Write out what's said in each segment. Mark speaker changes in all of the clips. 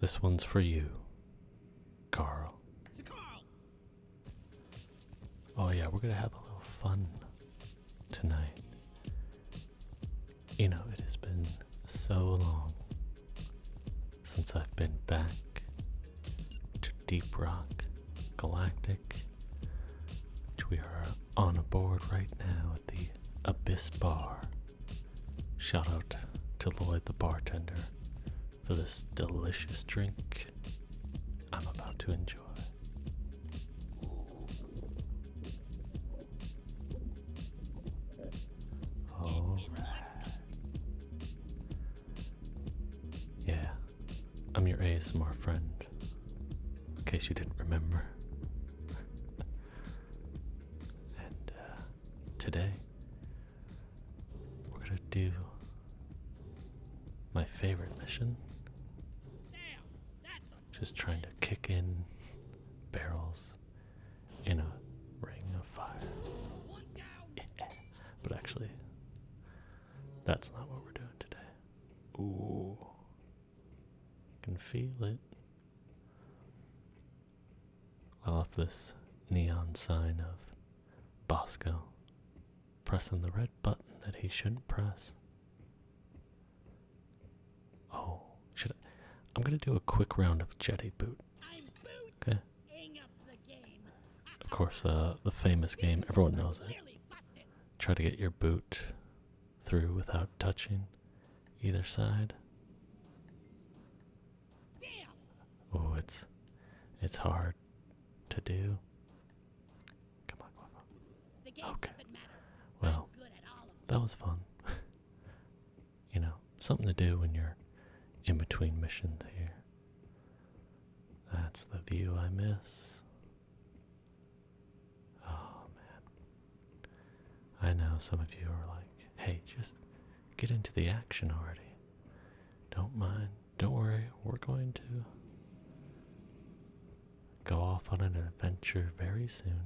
Speaker 1: This one's for you, Carl. Oh, yeah, we're going to have a little fun tonight. You know, it has been so long since I've been back to Deep Rock Galactic, which we are on board right now at the Abyss Bar Shout out to Lloyd the bartender for this delicious drink I'm about to enjoy. Yeah, I'm your ASMR friend, in case you didn't remember. and uh, today we're gonna do my favorite mission. Just trying to kick in barrels in a ring of fire. But actually, that's not what we're doing today. Ooh, can feel it. I love this neon sign of Bosco pressing the red button that he shouldn't press. Oh, should I? I'm gonna do a quick round of Jetty Boot. Okay. Of course, uh, the famous game, everyone knows it. Try to get your boot through without touching either side. Oh, it's it's hard to do. Come on, come on. okay. Well, that was fun. you know, something to do when you're in between missions here. That's the view I miss. Oh man. I know some of you are like, hey, just get into the action already. Don't mind, don't worry, we're going to go off on an adventure very soon.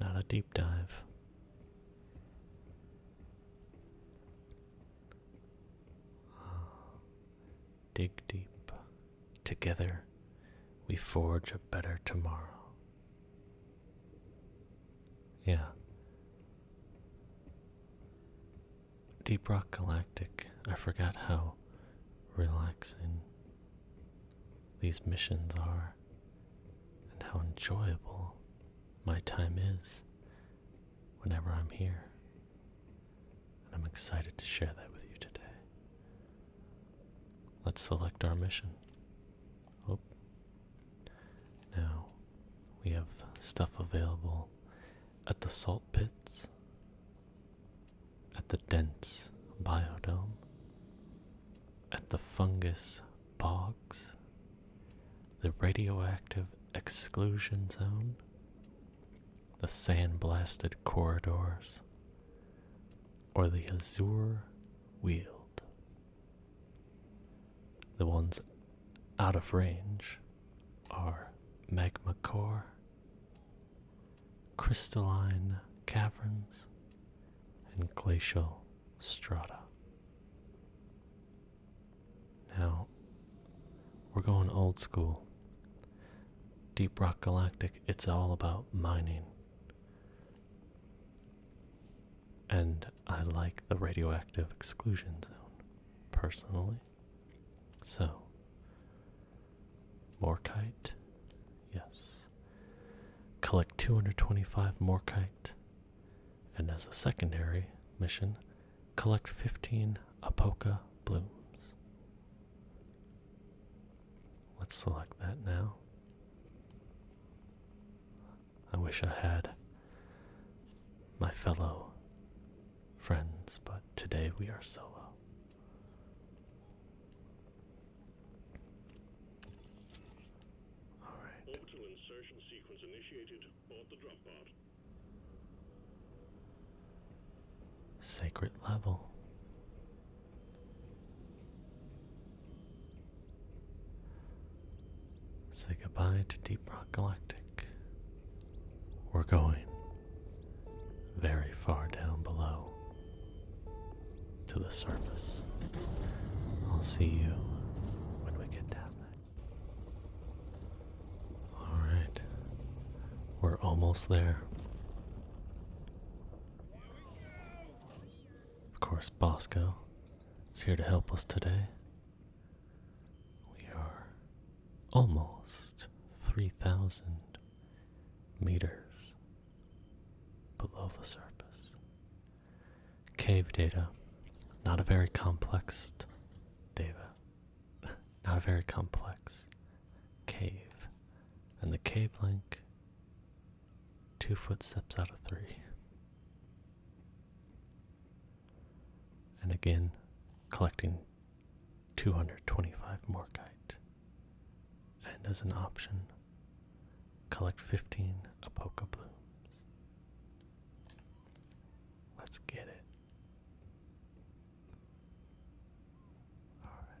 Speaker 1: Not a deep dive. Dig deep. Together we forge a better tomorrow. Yeah. Deep Rock Galactic, I forget how relaxing these missions are and how enjoyable my time is whenever I'm here. And I'm excited to share that with you today. Let's select our mission. Oop. Now we have stuff available at the salt pits, at the dense biodome, at the fungus bogs, the radioactive exclusion zone, the sand blasted corridors, or the azure. Wield. The ones out of range are magma core, crystalline caverns, and glacial strata. Now, we're going old school. Deep Rock Galactic, it's all about mining and I like the radioactive exclusion zone personally. So, Morkite, yes. Collect 225 Morkite, and as a secondary mission, collect 15 Apoca blooms. Let's select that now. I wish I had my fellow friends, but today we are solo. All right. Orbital insertion sequence initiated. Board the drop pod. Sacred level. Say goodbye to Deep Rock Galactic. We're going very far down below to the surface. I'll see you when we get down there. Alright, we're almost there. Of course, Bosco it's here to help us today. We are almost 3,000 meters below the surface. Cave data, not a very complex data, not a very complex cave. And the cave link two footsteps out of three. And again, collecting 225 Morkite. And as an option, collect 15 Apoca Blooms. Let's get it. All right.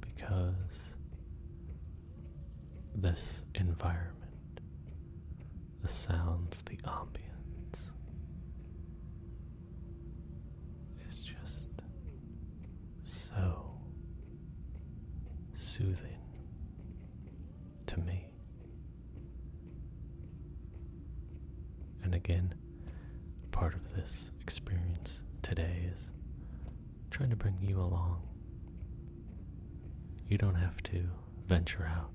Speaker 1: Because this environment, the sounds, the ambience, is just so soothing to me. And again, part of this experience today is trying to bring you along. You don't have to venture out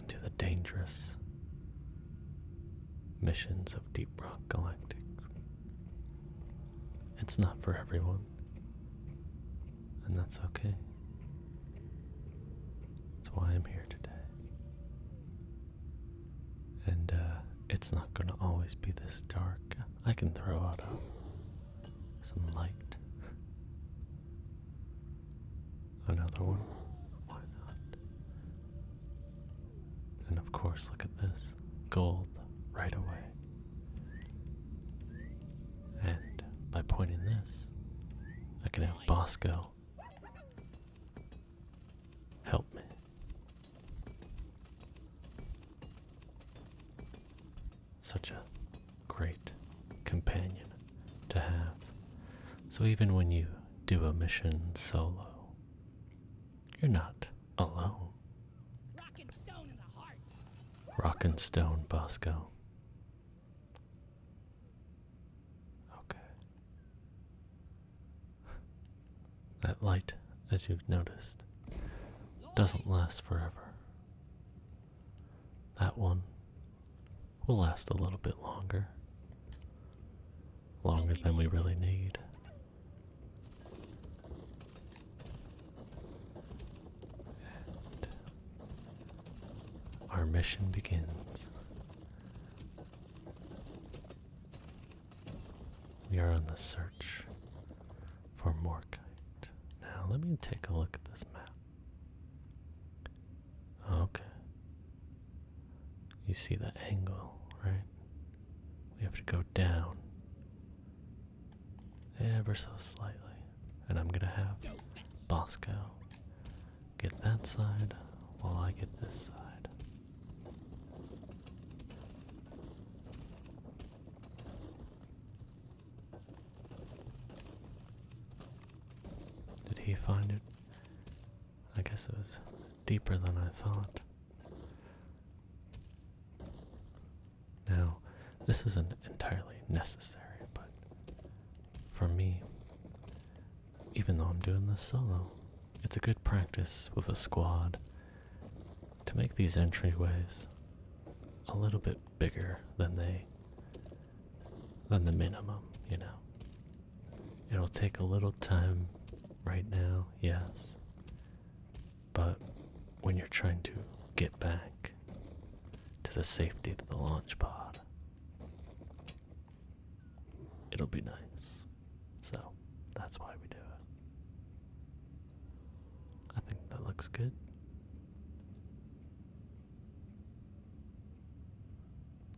Speaker 1: into the dangerous missions of Deep Rock Galactic. It's not for everyone, and that's okay. That's why I'm here today. And uh, it's not going to always be this dark. I can throw out uh, some light. Another one? Why not? And of course, look at this gold right away. And by pointing this, I can have Bosco Help me. Such a great companion to have. So even when you do a mission solo, you're not alone. Rock and stone in the heart. Rock and stone, Bosco. Okay. That light, as you've noticed, doesn't last forever. That one will last a little bit longer. Longer than we really need. And our mission begins. We are on the search for Morkite. Now, let me take a look at this map. Okay. You see the angle, right? We have to go down ever so slightly. And I'm gonna have Bosco Get that side while I get this side. Did he find it? I guess it was deeper than I thought. Now, this isn't entirely necessary, but for me, even though I'm doing this solo, it's a good practice with a squad to make these entryways a little bit bigger than they than the minimum, you know. It'll take a little time right now, yes. But when you're trying to get back to the safety of the launch pod, it'll be nice. So that's why we do it. I think that looks good.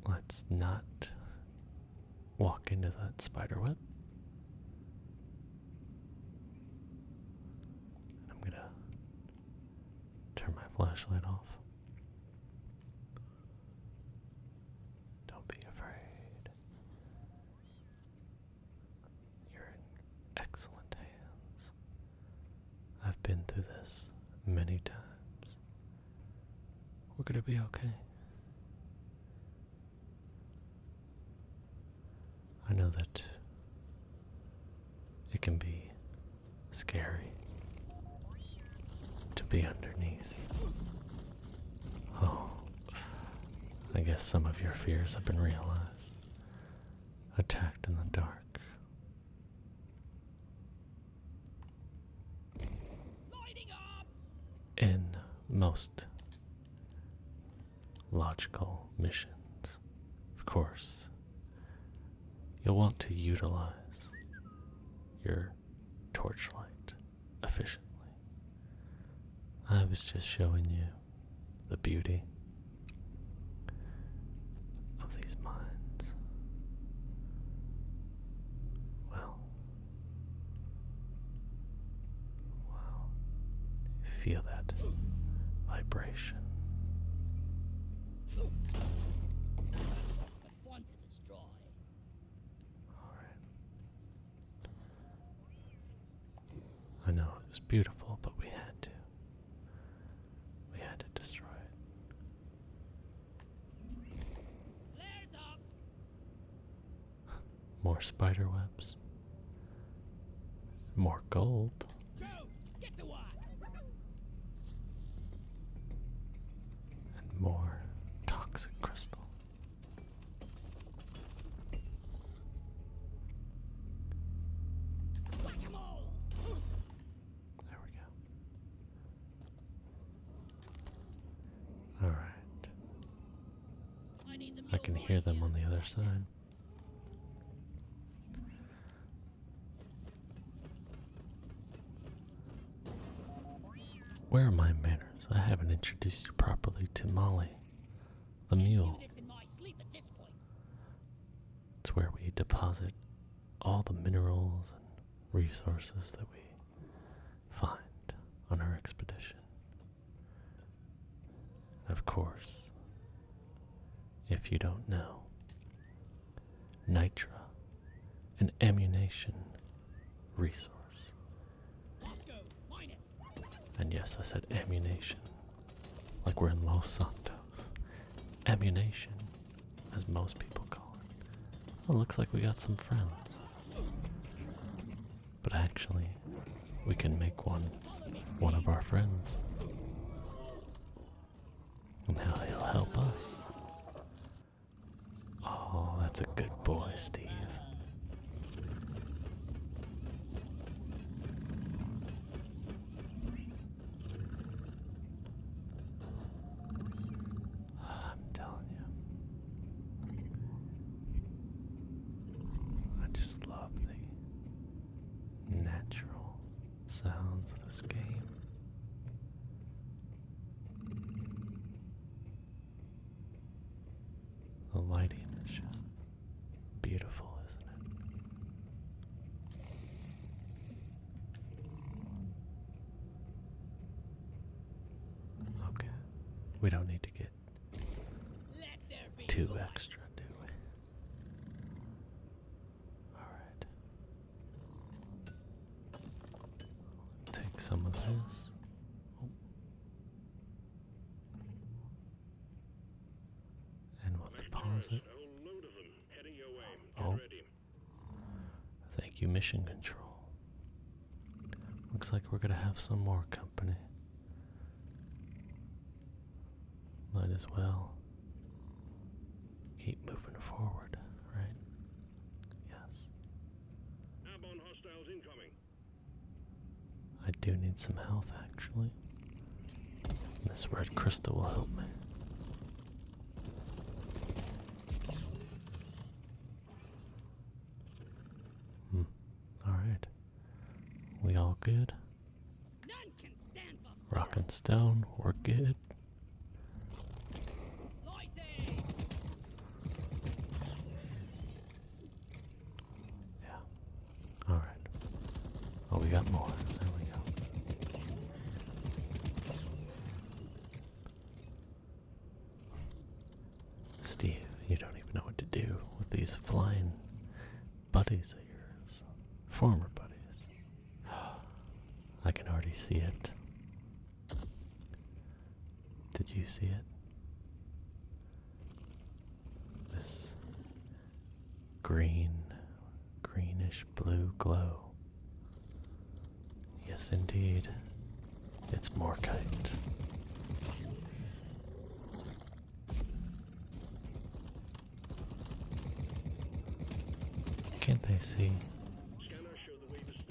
Speaker 1: Let's not walk into that spider web. I'm gonna turn my flashlight off. Don't be afraid. You're in excellent hands. I've been through this many times. We're going to be okay. I know that it can be scary to be underneath Oh, I guess some of your fears have been realized. Attacked in the dark. In most logical missions, of course, you'll want to utilize your torchlight efficiently. I was just showing you the beauty of these minds. Well, wow, feel that vibration. I know it was beautiful, but we had to. We had to destroy it. More spider webs. More gold. And more toxic crystal. There we go. All right. I can hear them on the other side. Where are my manners? I haven't introduced you properly to Molly, the mule. It's where we deposit all the minerals and resources that we find on our expedition. of course, if you don't know, Nitra an ammunition resource. And yes, I said ammunition, like we're in Los Santos. Ammunition, as most people call it. Oh, looks like we got some friends. But actually, we can make one one of our friends. And how he'll help us Oh, that's a good boy, Steve. I'm telling you. I just love the natural sounds of this game. The lighting is just beautiful, isn't it? Okay, we don't need to get two extra, do we? All right. Take some of this. And we'll deposit. Oh. Thank you, Mission Control. Looks like we're gonna have some more company. Might as well keep moving forward, right? Yes. I do need some health, actually. This red crystal will help me. Hmm. Alright. We all good? Rock and stone, we're good. Yeah. All right. Oh, we got more. There we go. Steve, you don't even know what to do with these flying buddies of yours. Former buddies. I can already see it. Did you see it? This green, greenish blue glow. Yes, indeed, it's Morkite. Can't they see?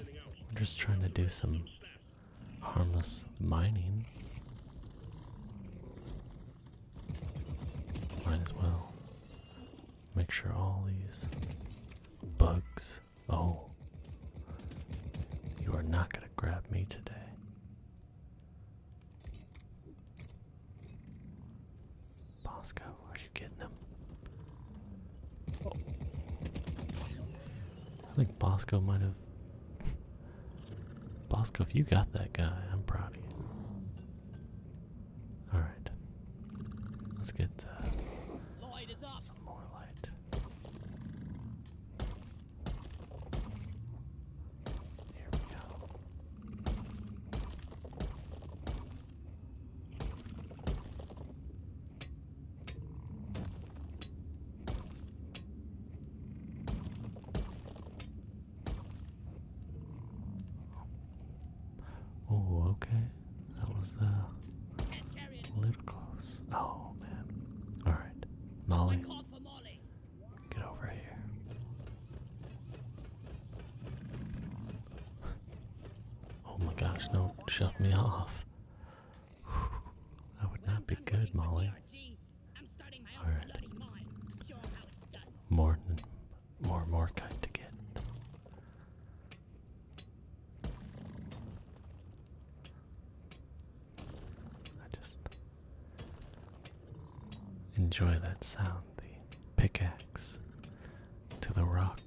Speaker 1: We're just trying to do some harmless mining. Might as well make sure all these bugs. Oh, you are not going to grab me today. Bosco, are you getting him? I think Bosco might have. Bosco, if you got that guy, I'm proud of you. Alright. Let's get uh, some more light. Here we go. Oh, okay. That was uh, a little close. Oh man. All right, Molly. get over here. Oh my gosh! No, shove me off. That would not be good, Molly. Alright. More, more, more kind to get. I just enjoy that sound, the pickaxe to the rock.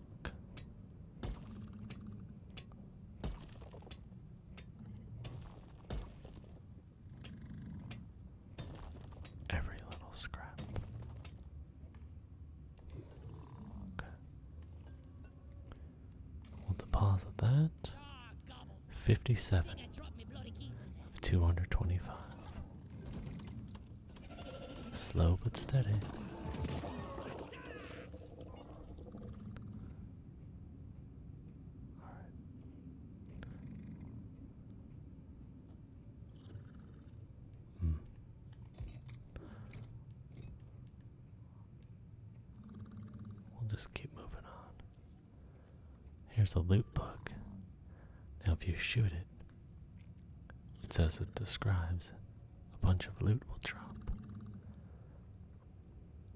Speaker 1: Every little scrap. Okay. We'll deposit that. 57 of 225. Slow but steady. All right. Mm. We'll just keep moving on. Here's a loot book. Now, if you shoot it, it says it describes a bunch of loot will drop.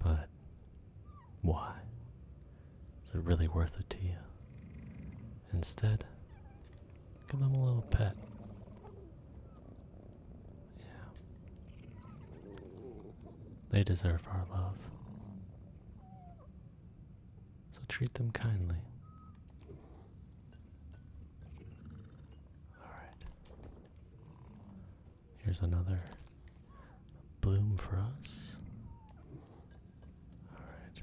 Speaker 1: But why? Is it really worth it to you? Instead, give them a little pet. Yeah. They deserve our love. So treat them kindly. Alright. Here's another bloom for us. Alright.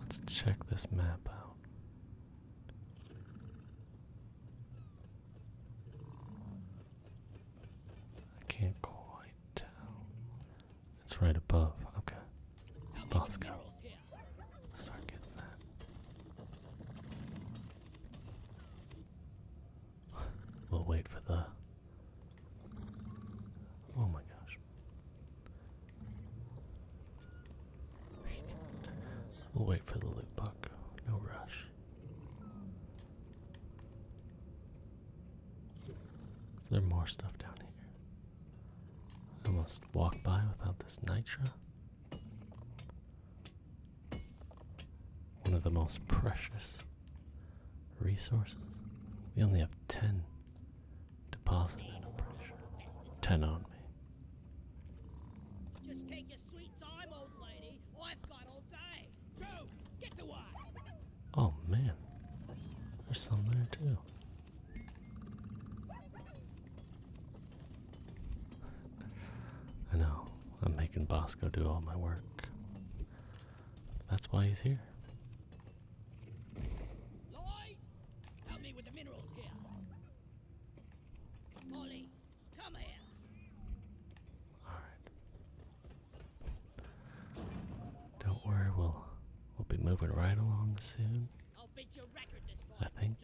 Speaker 1: Let's check this map out. I can't quite tell. It's right above. Okay. Bosco. Start getting that. we'll wait for the. Oh my gosh. we'll wait for the loot buck. No rush. Is there more stuff down here? I must walk by without this nitra. One of the most precious resources. We only have 10 deposited, I'm pretty 10 on me. Oh, man. There's some there, too. I know, I'm making Bosco do all my work. That's why he's here. Lloyd, help me with the minerals here. Molly, come here. Alright. Don't worry, we'll we'll be moving right along soon. I'll beat your record this I think.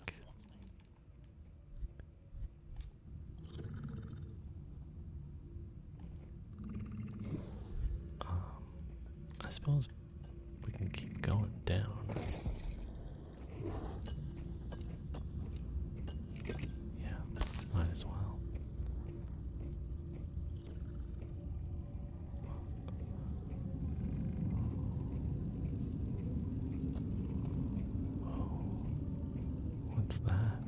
Speaker 1: Um, I suppose we can keep going down. Yeah, might as well what's that?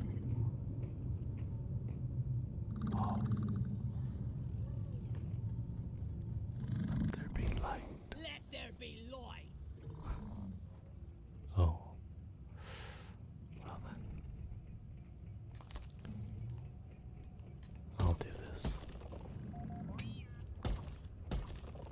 Speaker 1: Let there be light. Oh. Well I'll do this.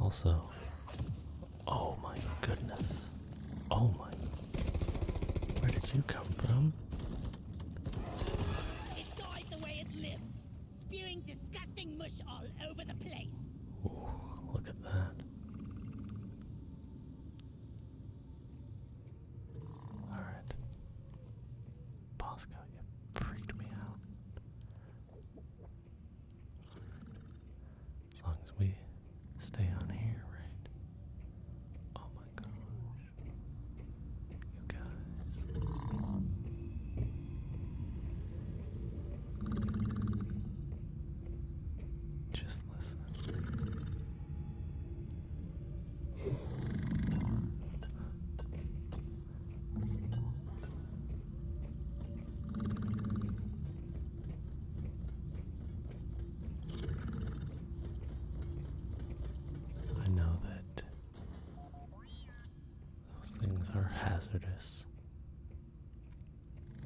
Speaker 1: Also, oh my goodness. Oh my. Where did you come from? It died the way it lived, spewing disgusting mush all over the place. look at that. Alright. Bosco, you freaked me out. As long as we stay on here, right? Oh my gosh. You guys. Just listen. I know that those things are hazardous.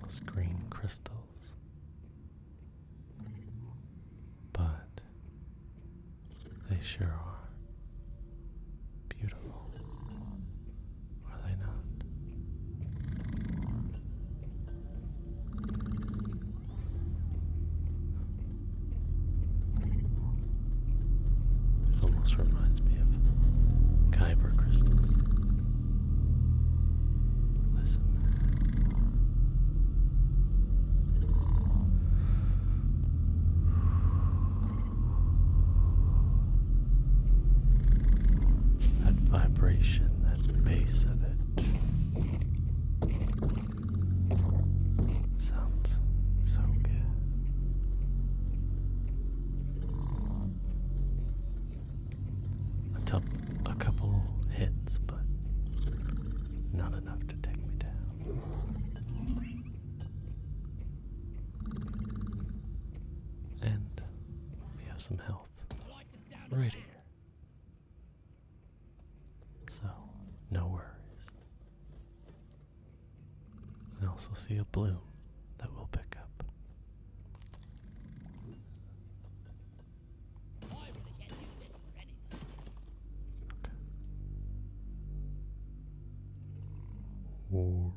Speaker 1: Those green crystals. But they sure are beautiful, are they not? It almost reminds me of Kyber crystals. Listen that vibration, that bass of it sounds so good. A, tup a couple hits, but not enough to take me down. And we have some health right here. So, no worries. I also see a bloom that we'll pick up. Okay.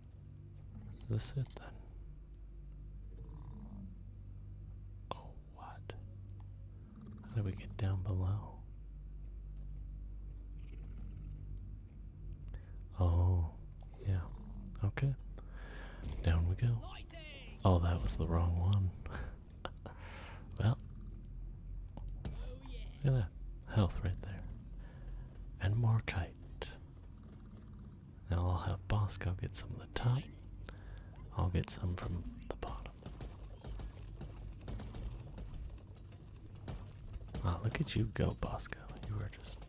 Speaker 1: Is this it then? Oh, what? How do we get down below? Oh, yeah. Okay. Down we go. Oh, that was the wrong one. well, look at that. Health right there. And more kite. Now I'll have Bosco get some of the top. I'll get some from the bottom. Ah, look at you go, Bosco. You are just.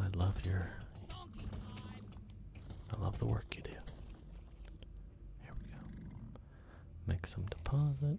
Speaker 1: I love your. I love the work you do. Here we go. Make some deposit.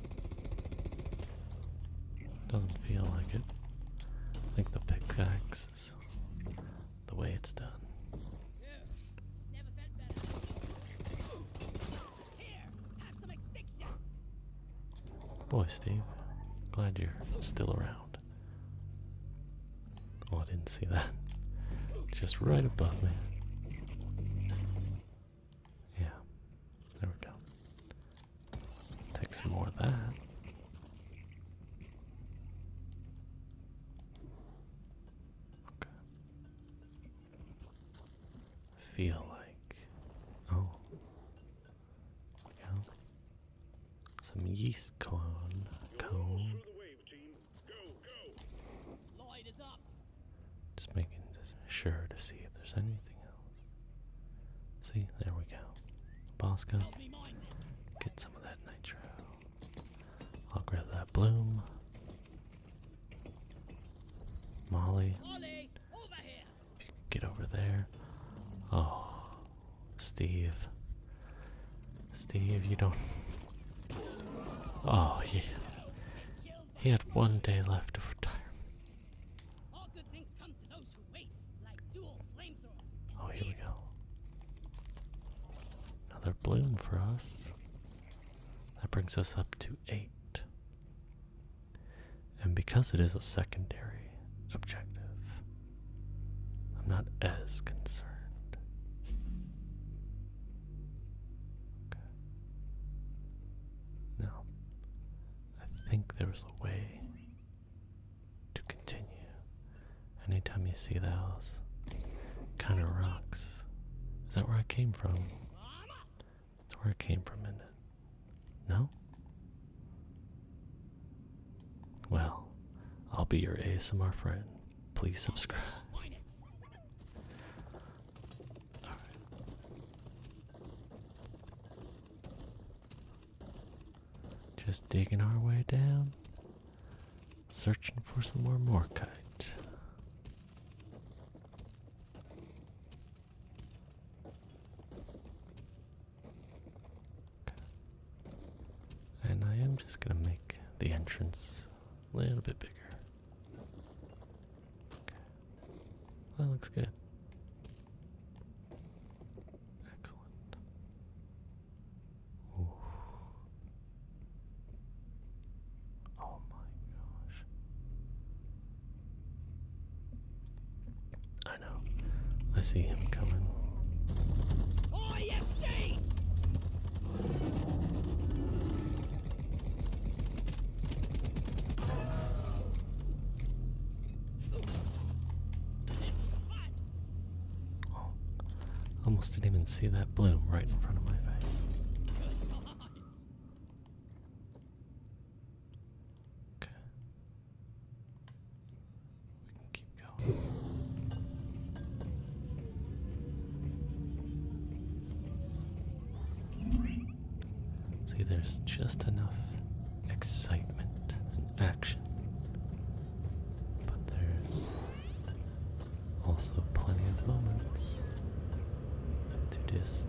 Speaker 1: Doesn't feel like it. I think the pickaxe is the way it's done. Boy, Steve, glad you're still around. Oh, I didn't see that. Just right above me. Yeah, there we go. Take some more of that. Okay. Feel like oh, yeah, some yeast corn cone. Just making sure to see if there's anything See, there we go. Bosco, get some of that nitro. I'll grab that bloom. Molly, Molly if you could get over there. Oh, Steve. Steve, you don't. Oh, yeah. He had one day left of retirement. Oh, here we go. Another bloom for us. That brings us up to eight. And because it is a secondary objective, I'm not as concerned. Okay. Now, I think there was a way to continue. Anytime you see the house, kind of rocks. Is that where I came from? That's where I came from, is No? Well, I'll be your ASMR friend. Please subscribe. Just digging our way down. Searching for some more Morkite. And I am just going to make the entrance a little bit bigger. That looks good. Excellent. Oh my gosh. I know. I see him coming. OFC! almost didn't even see that bloom right in front of my face. Okay. We can keep going. See, there's just enough excitement and action, but there's also plenty of moments to just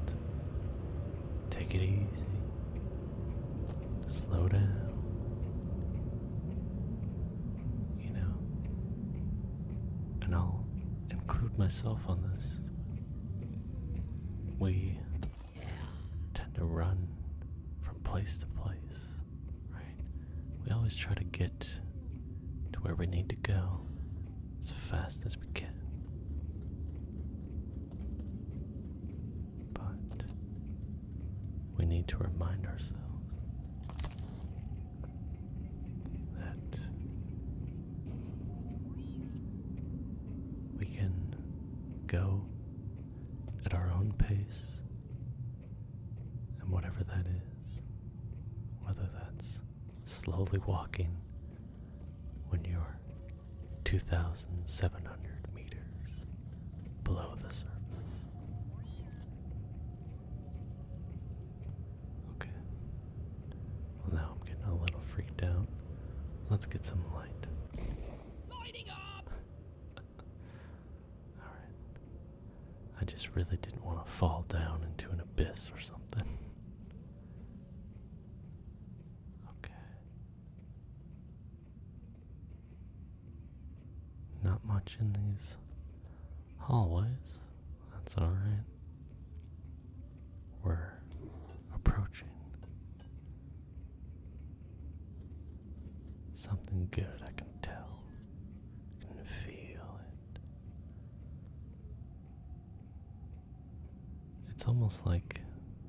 Speaker 1: take it easy, slow down. You know, and I'll include myself on this. We tend to run from place to place, right? We always try to get to where we need to go as fast as we can. But we need to remind ourselves that we can go at our own pace and whatever that is, whether that's slowly walking when you're 2,700 meters below the surface. Okay. Well, now I'm getting a little freaked out. Let's get some light. Lighting up. All right. I just really didn't want to fall down into an abyss or something. Okay. Not much in these hallways. That's all right. We're approaching Something good, I can tell. I can feel it. It's almost like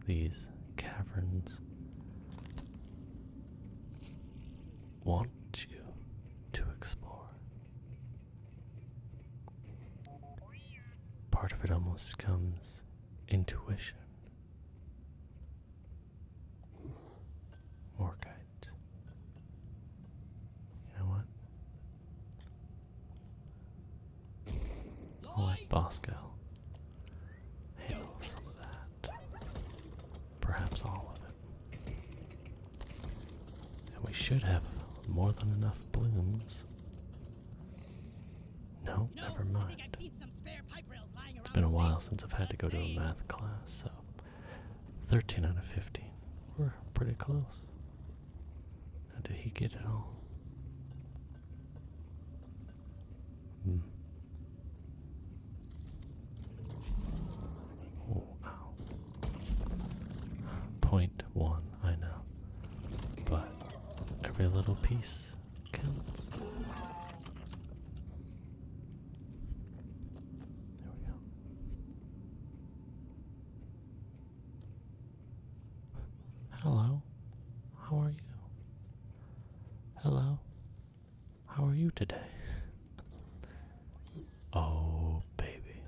Speaker 1: these caverns want you to explore. Part of it almost becomes intuition, orchid. You know what? I'll Bosco handle some of that. Perhaps all of it. And we should have more than enough blooms no, never mind. It's been a while since I've had to go to a math class, so 13 out of 15. We're pretty close. Now, did he get it all? Hmm. Oh, ow. Point one, I know. But every little piece Hello. How are you? Hello. How are you today? Oh, baby.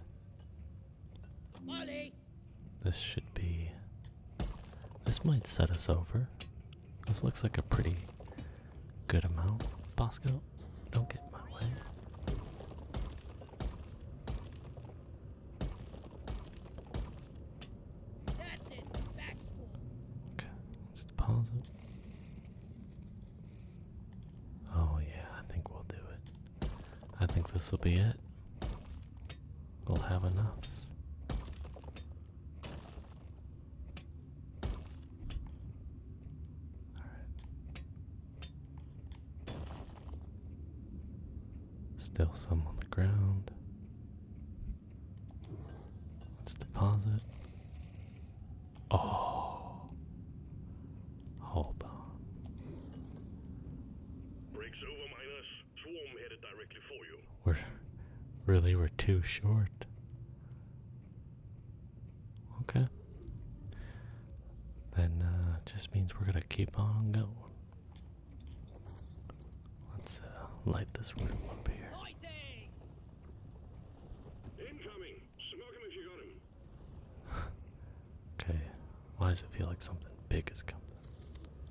Speaker 1: Molly, this should be. This might set us over. This looks like a pretty good amount. Bosco, don't get in my way. okay, let's pause Oh yeah, I think we'll do it. I think this will be it we'll have enough. All right. Still some on the ground. Let's deposit. Oh, hold on. Breaks over, Minus. We're really we're too short. Okay. Then uh just means we're gonna keep on going. Let's uh, light this room up here. Incoming! okay. Why does it feel like something big is coming?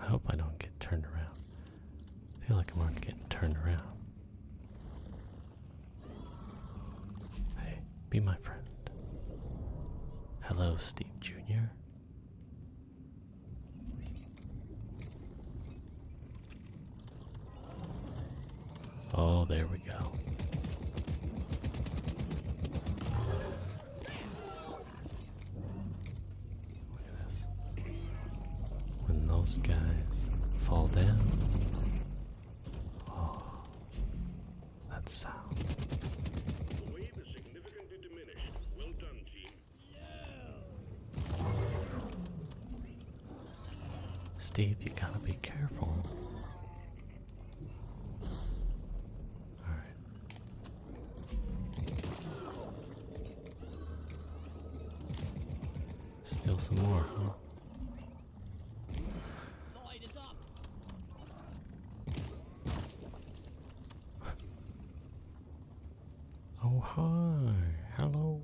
Speaker 1: I hope I don't get turned around. I feel like I'm already getting turned around. Hey, be my friend. Hello, Steve Jr. Oh, there we go. Look When those guys fall down, oh, that sound. Steve, you gotta be careful. All right. Still some more, huh? Oh, hi. Hello.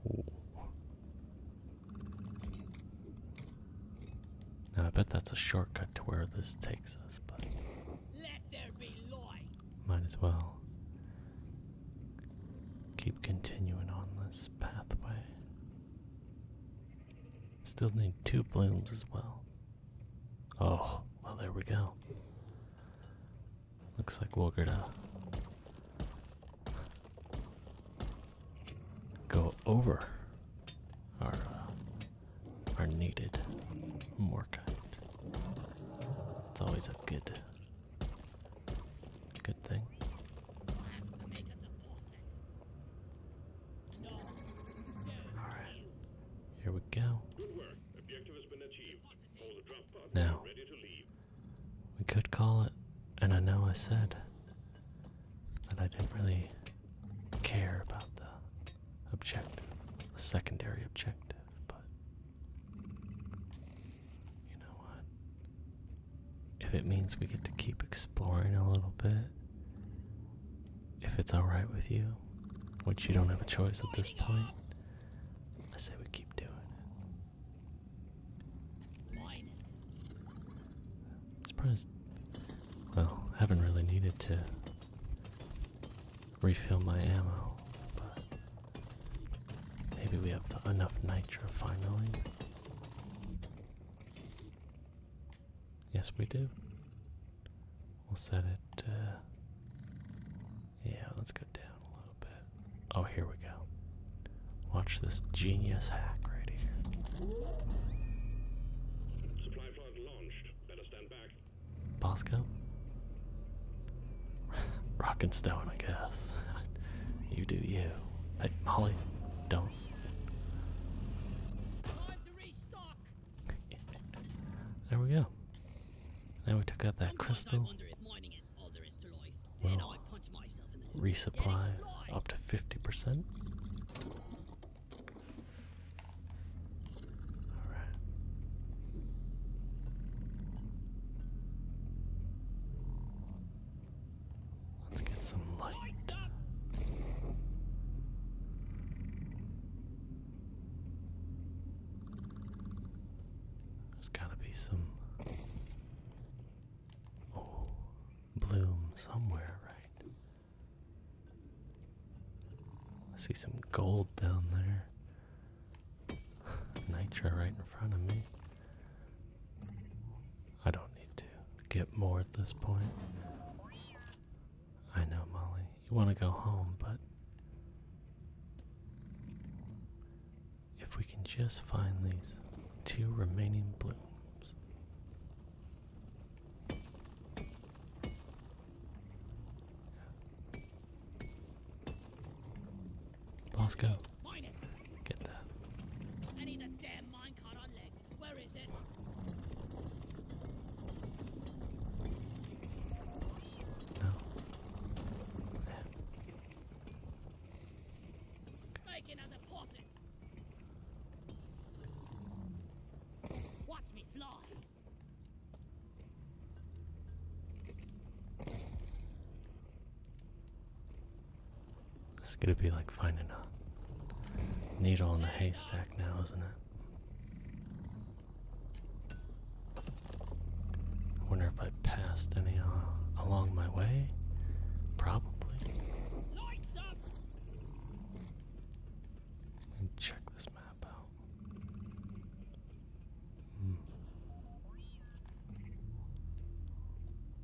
Speaker 1: Now, I bet that's a shortcut to where this takes us, but... Might as well keep continuing on this pathway. Still need two blooms as well. Oh, well, there we go. Looks like we will gonna go over our uh, our needed more kind. It's always a good good thing. Alright. Here we go. now. We could call it and I know I said that I didn't really care about the objective, the secondary objective but you know what? If it means we get to keep exploring a little bit, if it's alright with you, which you don't have a choice at this point, I say we keep doing it. i surprised. Well, haven't really needed to refill my ammo, but maybe we have enough nitro finally. Yes, we do. We'll set it. Uh, yeah, let's go down a little bit. Oh, here we go. Watch this genius hack right here. Supply pod launched. Better stand back. Bosco? Rock and stone, I guess. you do you. Hey, Molly, don't. there we go. Now we took out that crystal. Well, resupply up to 50% right. Let's get some light. There's gotta be some oh, bloom somewhere, right? see some gold down there. Nitro right in front of me. I don't need to get more at this point. I know, Molly. You want to go home, but. If we can just find these two remaining blooms. Last go. Get that. I need a damn minecart on legs. Where is it? No. Make another deposit. Watch me fly. This is gonna be like finding a needle in a haystack now, isn't it? I wonder if I passed any uh, along my way. Probably. Lights check this map out. Hmm.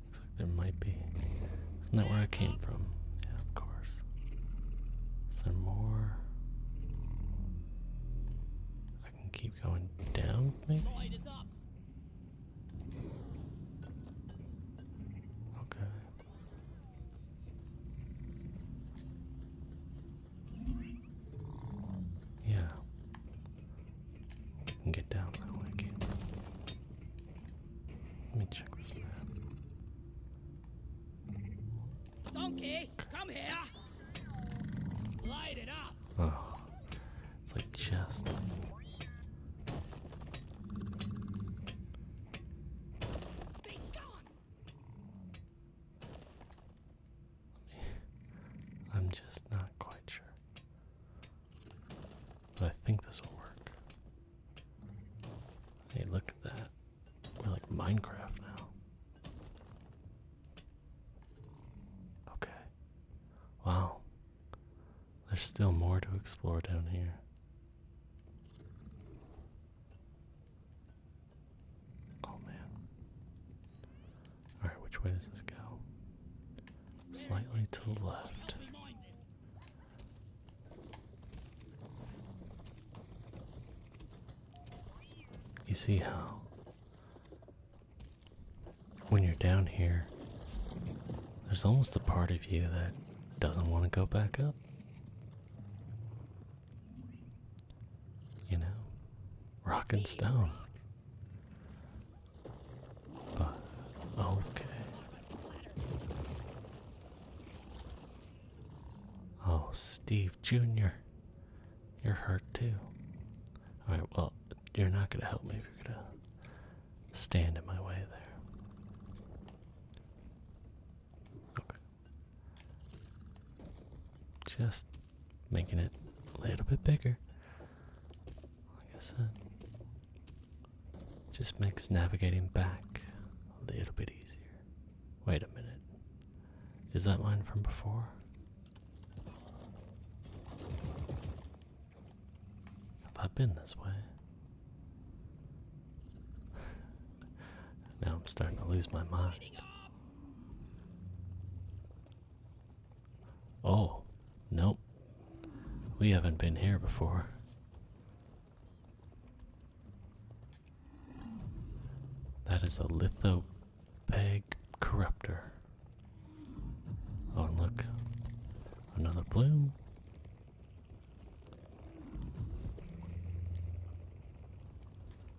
Speaker 1: Looks like there might be. Isn't that where I came from? Yeah, of course. Is there more? I can keep going down, maybe? Okay. Yeah. get down now, Let me check this map. Donkey, come here. Light it up. Oh. It's like just I'm just not quite sure. But I think this will work. Hey, look at that. We're like Minecraft now. Okay. Wow. There's still more to explore down here. Oh man. Alright, which way does this go? Slightly to the left. You see how when you're down here, there's almost a part of you that doesn't want to go back up you know, rock and stone. But, okay. Oh, Steve Jr., you're hurt too. Alright, well, you're not gonna help me if you're gonna stand in my way there. Okay. Just making it a little bit bigger. Like I said, just makes navigating back a little bit easier. Wait a minute. Is that mine from before? Have I been this way? now I'm starting to lose my mind. Oh, nope. We haven't been here before. That is a lithopeg corruptor. Oh, look. Another bloom.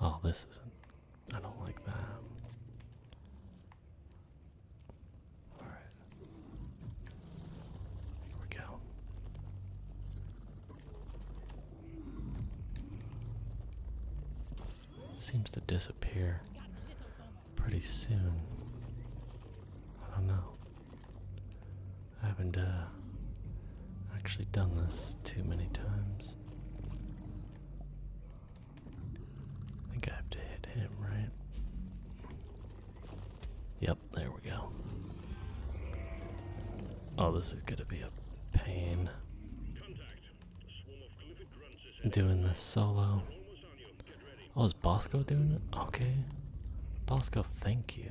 Speaker 1: Oh, this isn't. I don't like that. All right. Here we go. Seems to disappear pretty soon. I don't know. I haven't uh, actually done this too many times. I think I have to hit him, right? Yep, there we go. Oh, this is gonna be a pain. Doing this solo. Oh, is Bosco doing it? Okay. Bosco, thank you.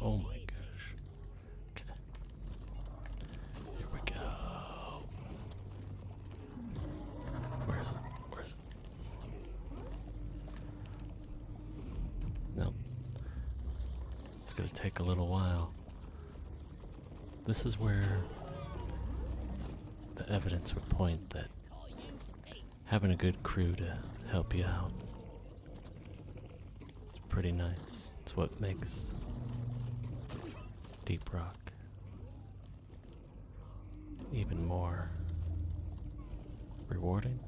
Speaker 1: Oh my gosh. Here we go. Where is it? Where is it? No. It's gonna take a little while. This is where the evidence would point that having a good crew to help you out. It's pretty nice. It's what makes Deep Rock even more rewarding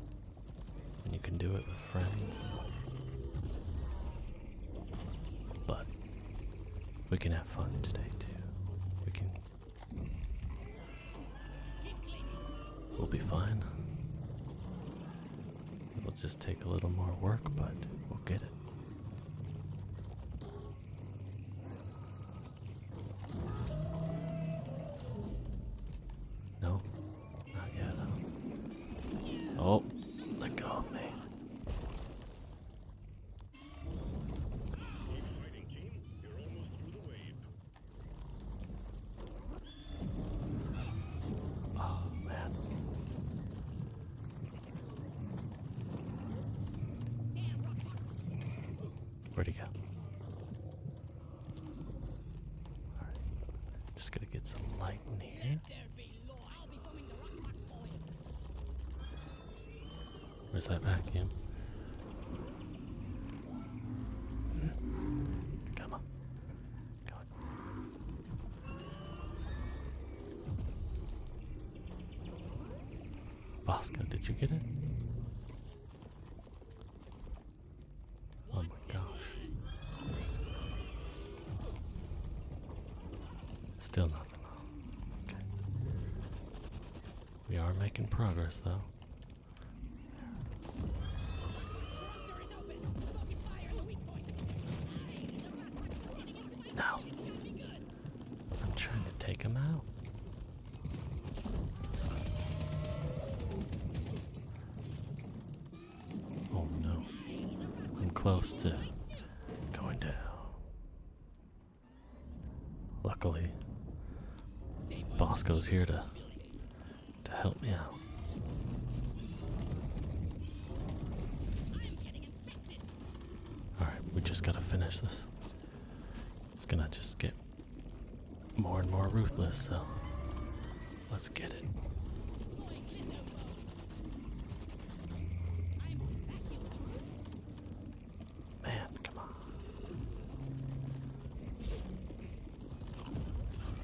Speaker 1: when you can do it with friends. But we can have fun today too. We can We'll be fine. It'll just take a little more work, but we'll get it. No, not yet. Oh, let go of Oh, man. Where'd he go? Alright. Just gonna get some light in here. Where's that vacuum? Come on. Bosco, did you get it? Oh my gosh. Still nothing. We are making progress though. No. I'm trying to take him out. Oh no. I'm close to going down. Luckily, Bosco's here to to help me out. Alright, we just gotta finish this. It's gonna just get more and more ruthless, so let's get it. Man, come on.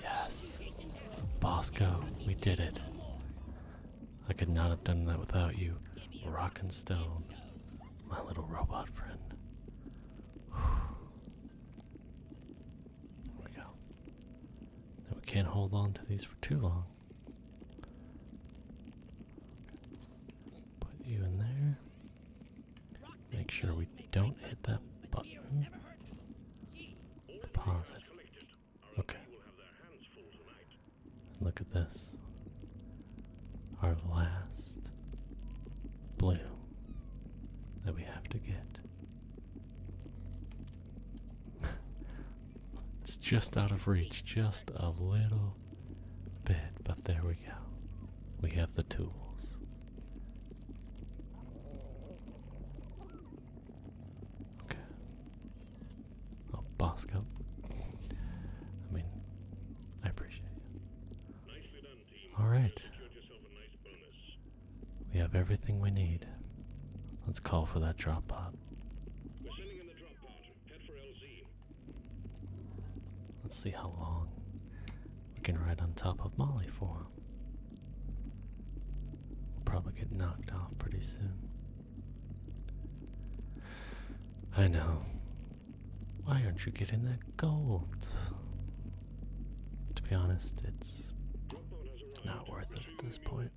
Speaker 1: Yes. Bosco, we did it. I could not have done that without you, Rock and Stone, my little robot friend. There we go. we can't hold on to these for too long. Put you in there. Make sure we don't hit that button. Pause it. Okay. Look at this. Our last blue that we have to get. it's just out of reach, just a little bit, but there we go. We have the tools. Okay. I'll bask up. I mean, I appreciate it. All right. we have everything we need. Let's call for that drop pod. Let's see how long we can ride on top of Molly for. We'll probably get knocked off pretty soon. I know. Why aren't you getting that gold? To be honest, it's not worth it at this point.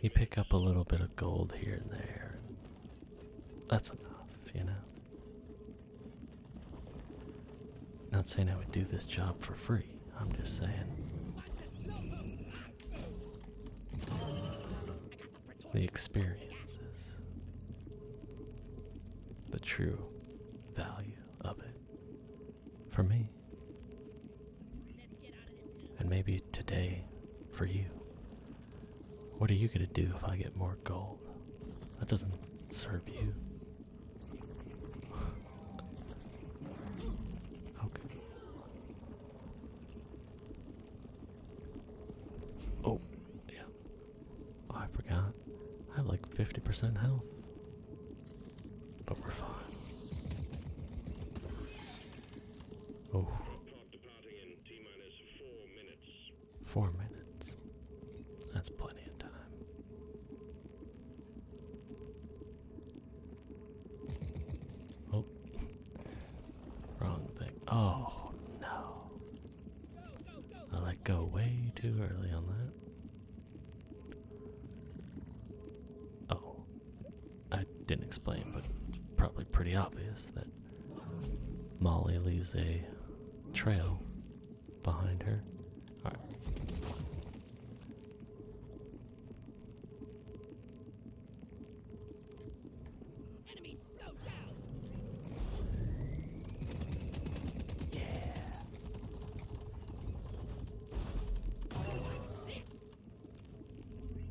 Speaker 1: You pick up a little bit of gold here and there, that's enough, you know. Not saying I would do this job for free, I'm just saying the experiences, the true value of it for me, and maybe today for you. What are you gonna do if I get more gold? That doesn't serve you. okay. Oh, yeah. Oh, I forgot. I have like 50% health. But we're fine. Oh. Four minutes. That's plenty of time. Oh, wrong thing. Oh no. I let go way too early on that. Oh, I didn't explain, but it's probably pretty obvious that Molly leaves a trail behind her. All right. Yeah.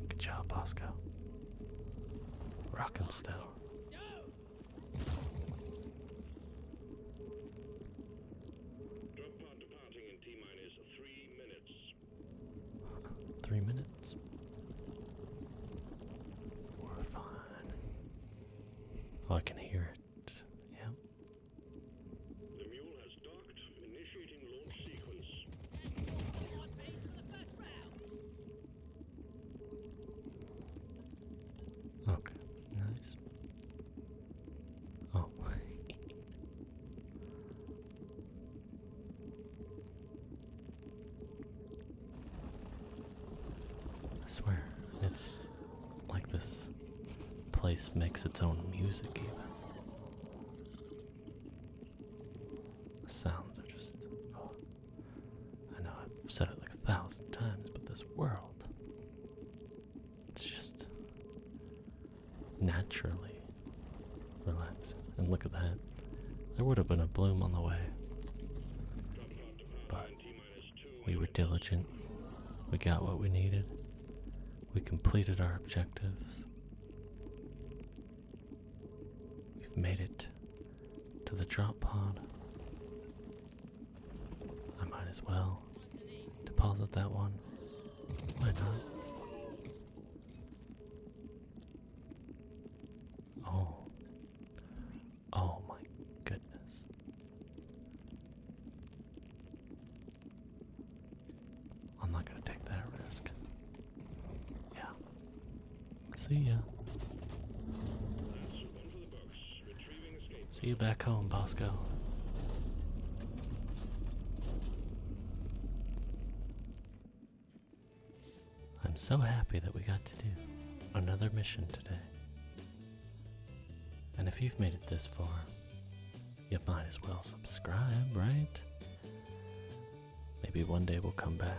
Speaker 1: Good job, Bosco. Rockin' still. Drug pod departing in T minus three minutes. three minutes. We're fine. I can hear it. Yeah. The mule has docked, initiating launch sequence. Okay, nice. Oh. I swear, it's like this place makes its own music, even. The sounds are just. Oh. I know I've said it like a thousand times, but this world, it's just naturally relaxing. And look at that. There would have been a bloom on the way. But we were diligent. We got what we needed. We completed our objectives. We've made it to the drop pod. I might as well deposit that one. Why not? Oh. Oh my goodness. I'm not going to take that risk. Yeah. See ya. See you back home, Bosco. I'm so happy that we got to do another mission today. And if you've made it this far, you might as well subscribe, right? Maybe one day we'll come back